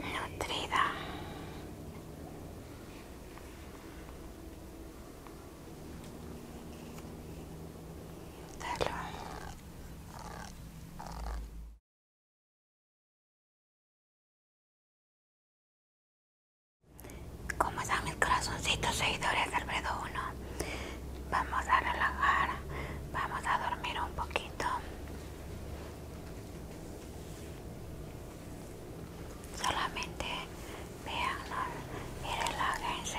nutrida como están mis corazoncitos seguidores del uno. 1? Vamos a relajar, vamos a dormir un poquito. liito. Solamente vean ¿no? y relájense.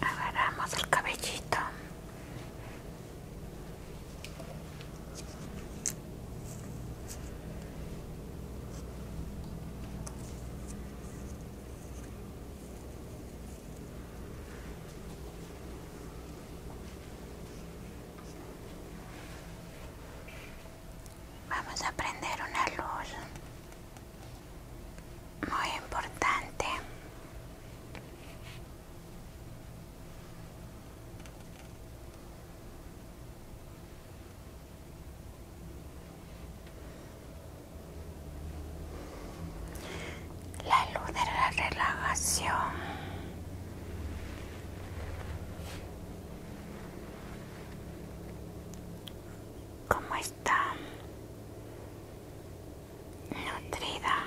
agarramos el cabellito Vamos a prender una luz muy importante la luz de la relajación Cómo está nutrida.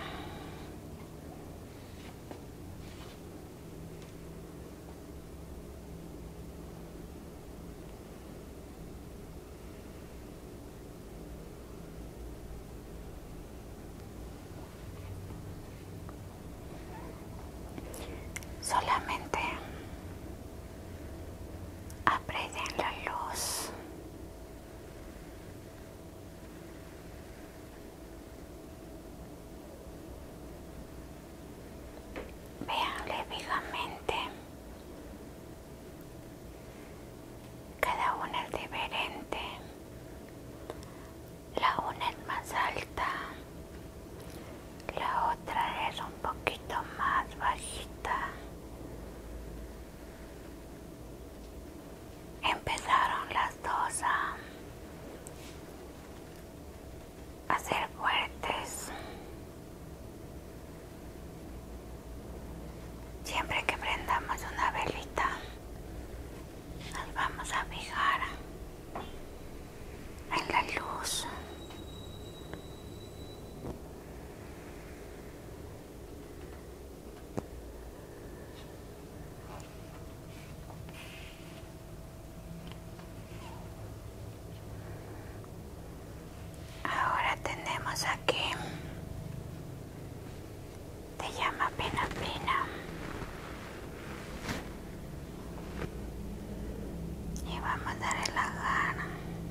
Solamente Aprecien la luz. Veanle vivamente. Cada una es diferente. La una es más alta. La otra es poquito más bajita. Empezaron las dos a, hacer ser fuertes. Siempre que prendamos una velita, nos vamos a fijar en la luz Ahora tenemos aquí, te llama Pina Pina. Y vamos a la gana.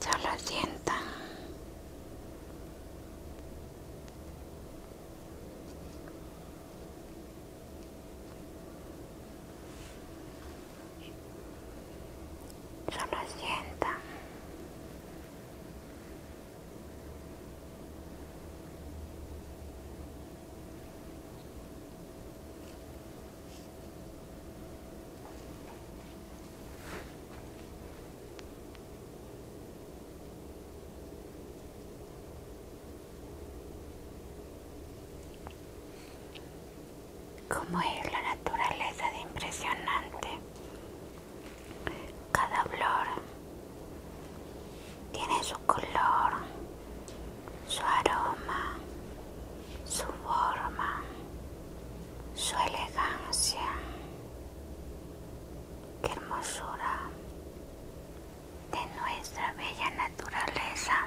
Solo sienta Solo sienta Cómo es la naturaleza de impresionante. Cada flor tiene su color su aroma, su forma, su elegancia. Qué hermosura de nuestra bella naturaleza.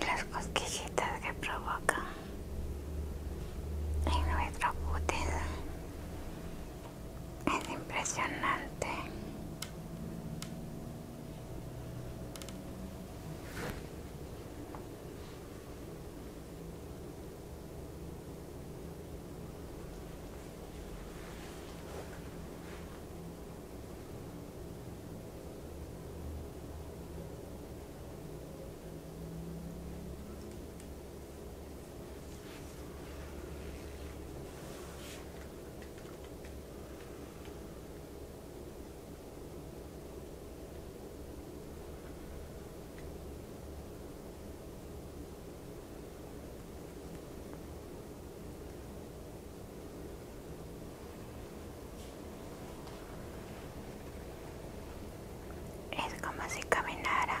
las cosquillitas que provoca en nuestra puteza es impresionante. Es como si caminara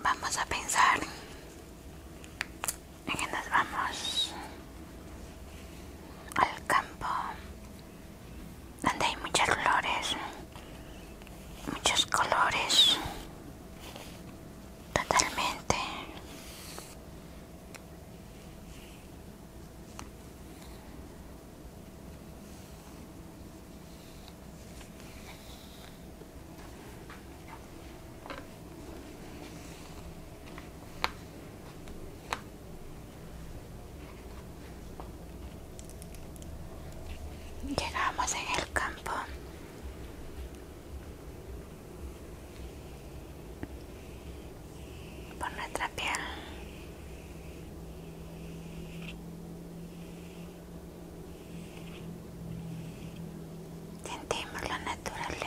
Vamos a pensar en que nos vamos al campo donde hay muchas flores, muchos colores, totalmente Llegamos en el campo por nuestra piel. Sentimos la naturaleza.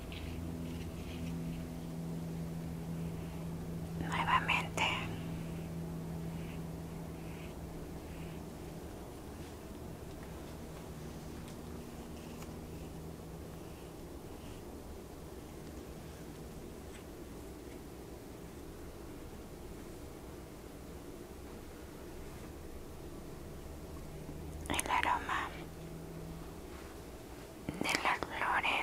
nuevamente. El aroma de las flores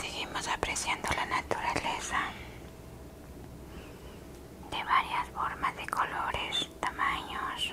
Seguimos apreciando la naturaleza de varias formas de colores, tamaños.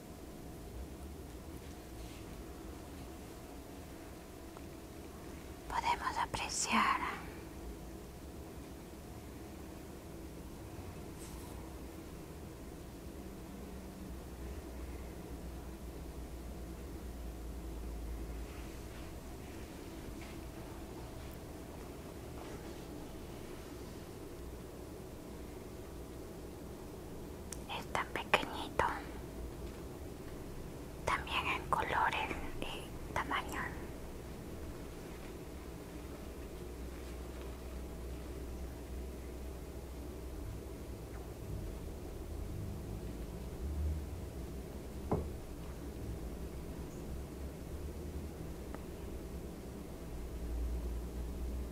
Podemos apreciar es tan pequeñito. También en colores y tamaño.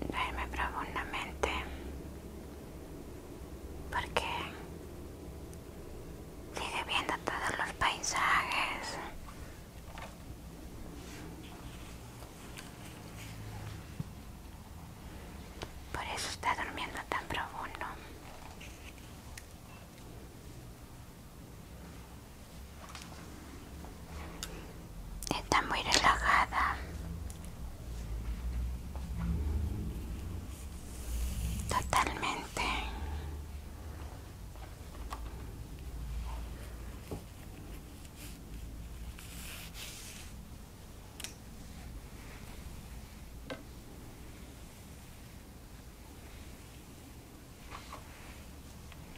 Duerme profundamente porque sigue viendo todos los paisajes. Por eso está durmiendo tan profundo. Está muy relajada. Totalmente.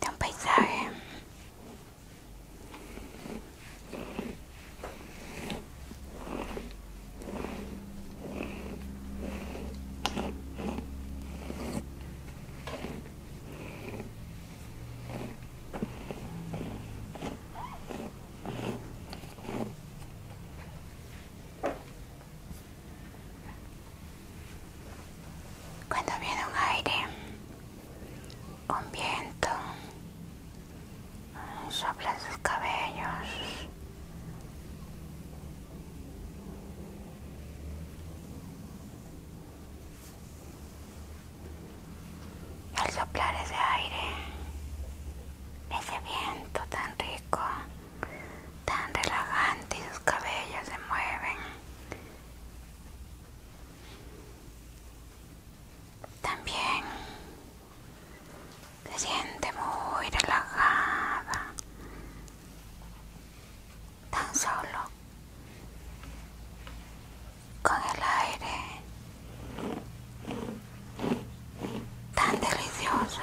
de un paisaje cuando viene un aire un viento sopla sus cabellos y al soplar ese aire ese viento tan rico tan relajante y sus cabellos se mueven también se siente muy relajada. Tan solo con el aire tan delicioso.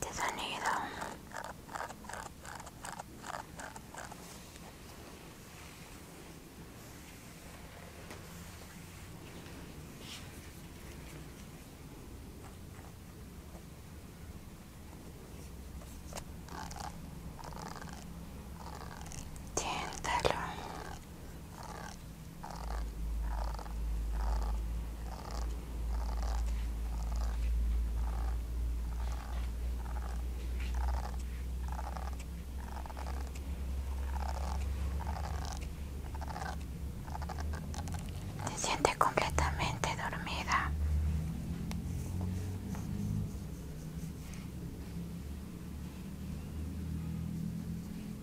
de este sonido siéntalo se siente completamente dormida.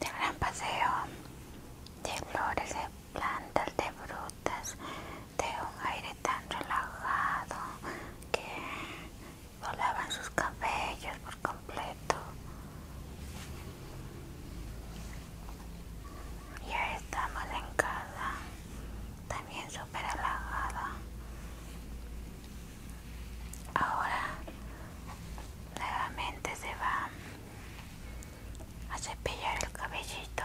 de gran paseo de flores de plantas de frutas de un aire tan relajado que volaban sus cabellos completo ya estamos en casa también súper halagada ahora nuevamente se va a cepillar el cabellito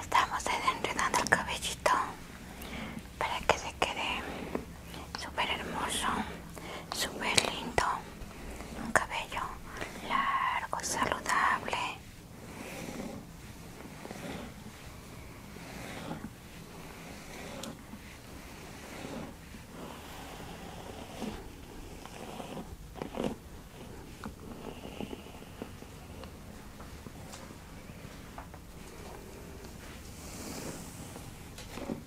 Estamos enredando el cabellito para que se quede súper hermoso, súper lindo un cabello largo, saludable.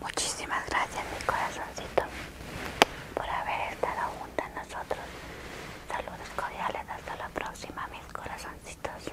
Muchísimas gracias mi corazoncito por haber estado junto a nosotros. Saludos cordiales, hasta la próxima mis corazoncitos.